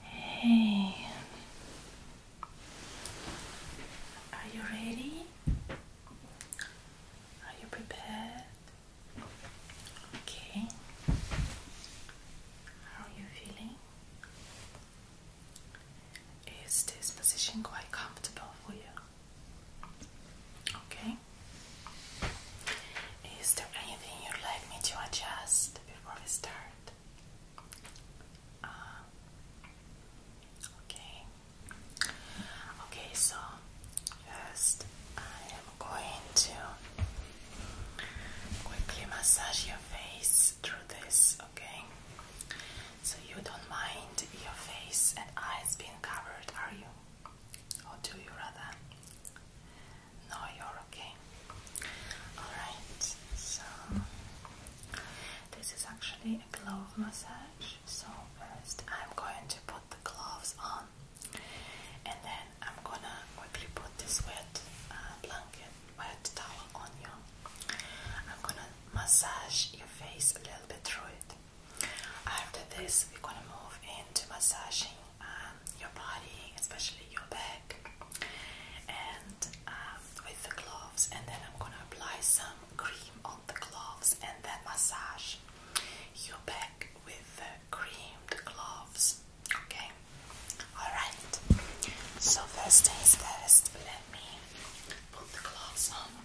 Hey, are you ready? Are you prepared? Okay, how are you feeling? Is this position quite comfortable for you? Okay. Is there anything you'd like me to adjust before we start? Uh, okay. Okay, so first I am going to quickly massage your face through this, okay? So you don't mind your face and eyes being covered, are you? Or do you rather? No, you're okay. Alright, so this is actually a glove massage. So, first I'm going to put the gloves on and then I'm gonna quickly put this wet uh, blanket, wet towel on you. I'm gonna massage your face a little bit through it. After this, we're gonna move into massaging um, your body, especially your back, and um, with the gloves. And then I'm gonna apply some cream on the gloves, and then massage your back with the creamed gloves. Okay. All right. So first things first, let me put the gloves on.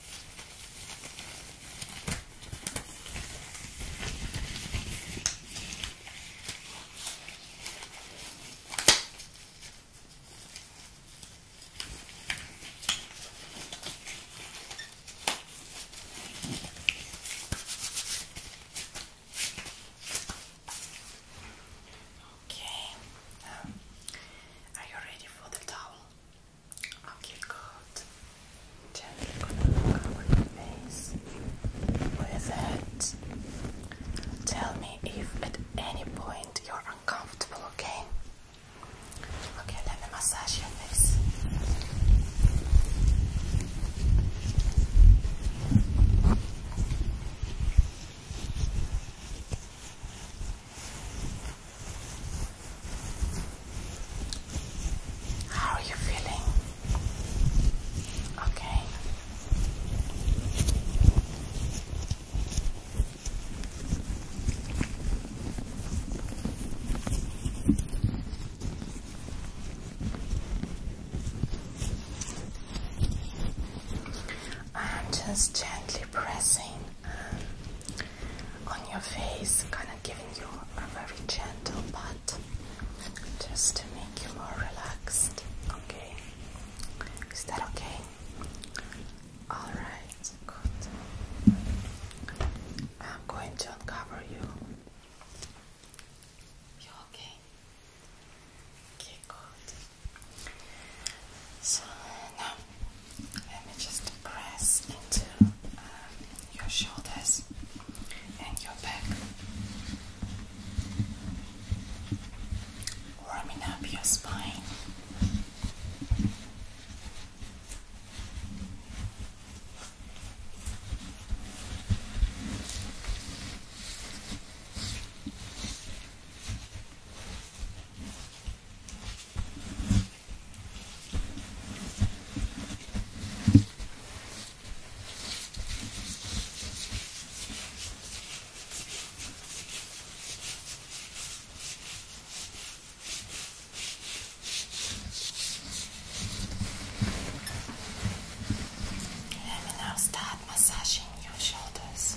Okay, um, are you ready for the towel? Okay, good. Gently gonna cover your face with it. Tell me if at any point you're uncomfortable, okay? Okay, let me massage your face. Okay, how are you feeling? Okay. I'm just gently pressing on your face, kind of giving you a very gentle pat just to make you more relaxed. Okay, is that okay? All right, good. I'm going to uncover You okay? Okay, good. So now let me just press into um, your shoulders and your back, warming up your spine. Let me now start massaging your shoulders.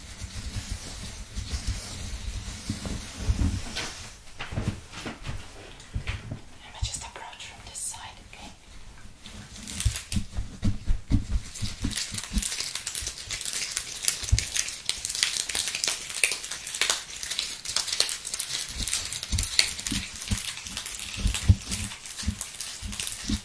I'm gonna just approach from this side, okay? Okay, Gonna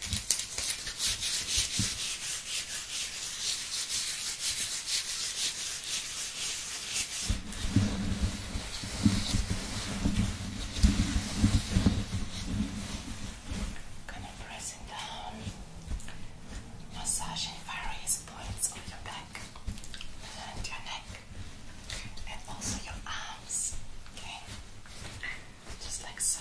press it down, massaging various points on your back and your neck, and also your arms. Okay. And just like so.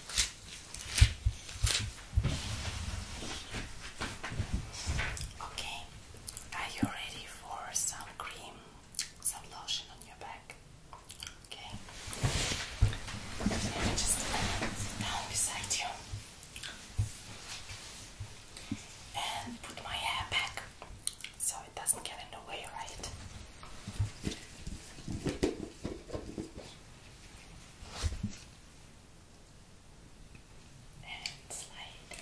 Okay, are you ready for some cream, some lotion on your back? Okay, let me just down uh, beside you and put my hair back so it doesn't get in the way, right? And slide.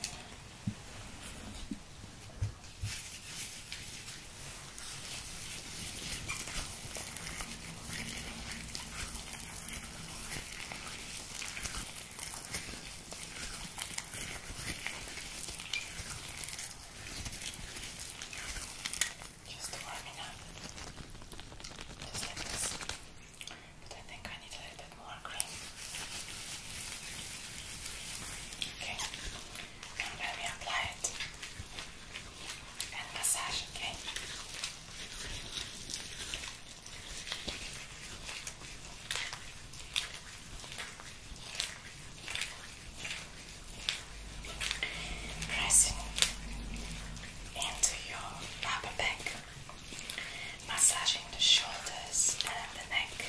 Just warming up. Just like this. But I think I need a little bit more cream. Okay. Now let me apply it. And massage, Okay pressing into your upper back, massaging the shoulders and the neck.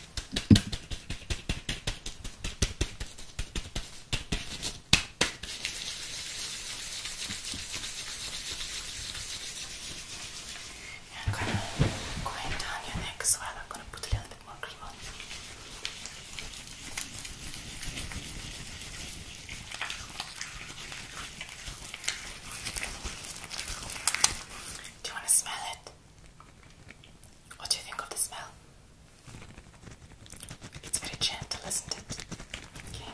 I'm going to go down your neck as well. I'm going to put a little bit more cream on. Do you want to smell it? What do you think of the smell? It's very gentle, isn't it? Okay. Okay.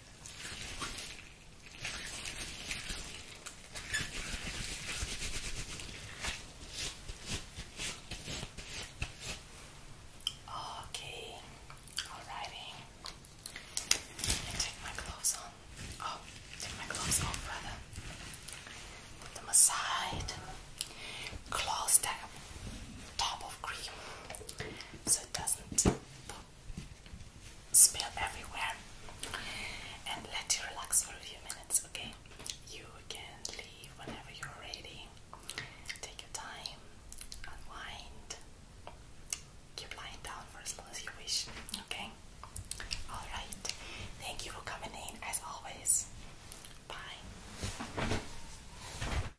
Okay, alrighty. I take my gloves on. Oh, take my gloves off, brother. Put them aside. Close down top of cream so it doesn't spill everywhere. And let you relax for a few minutes, okay? You can leave whenever you're ready. Take your time, unwind, keep lying down for as long as you wish, okay? Alright, thank you for coming in as always. Bye.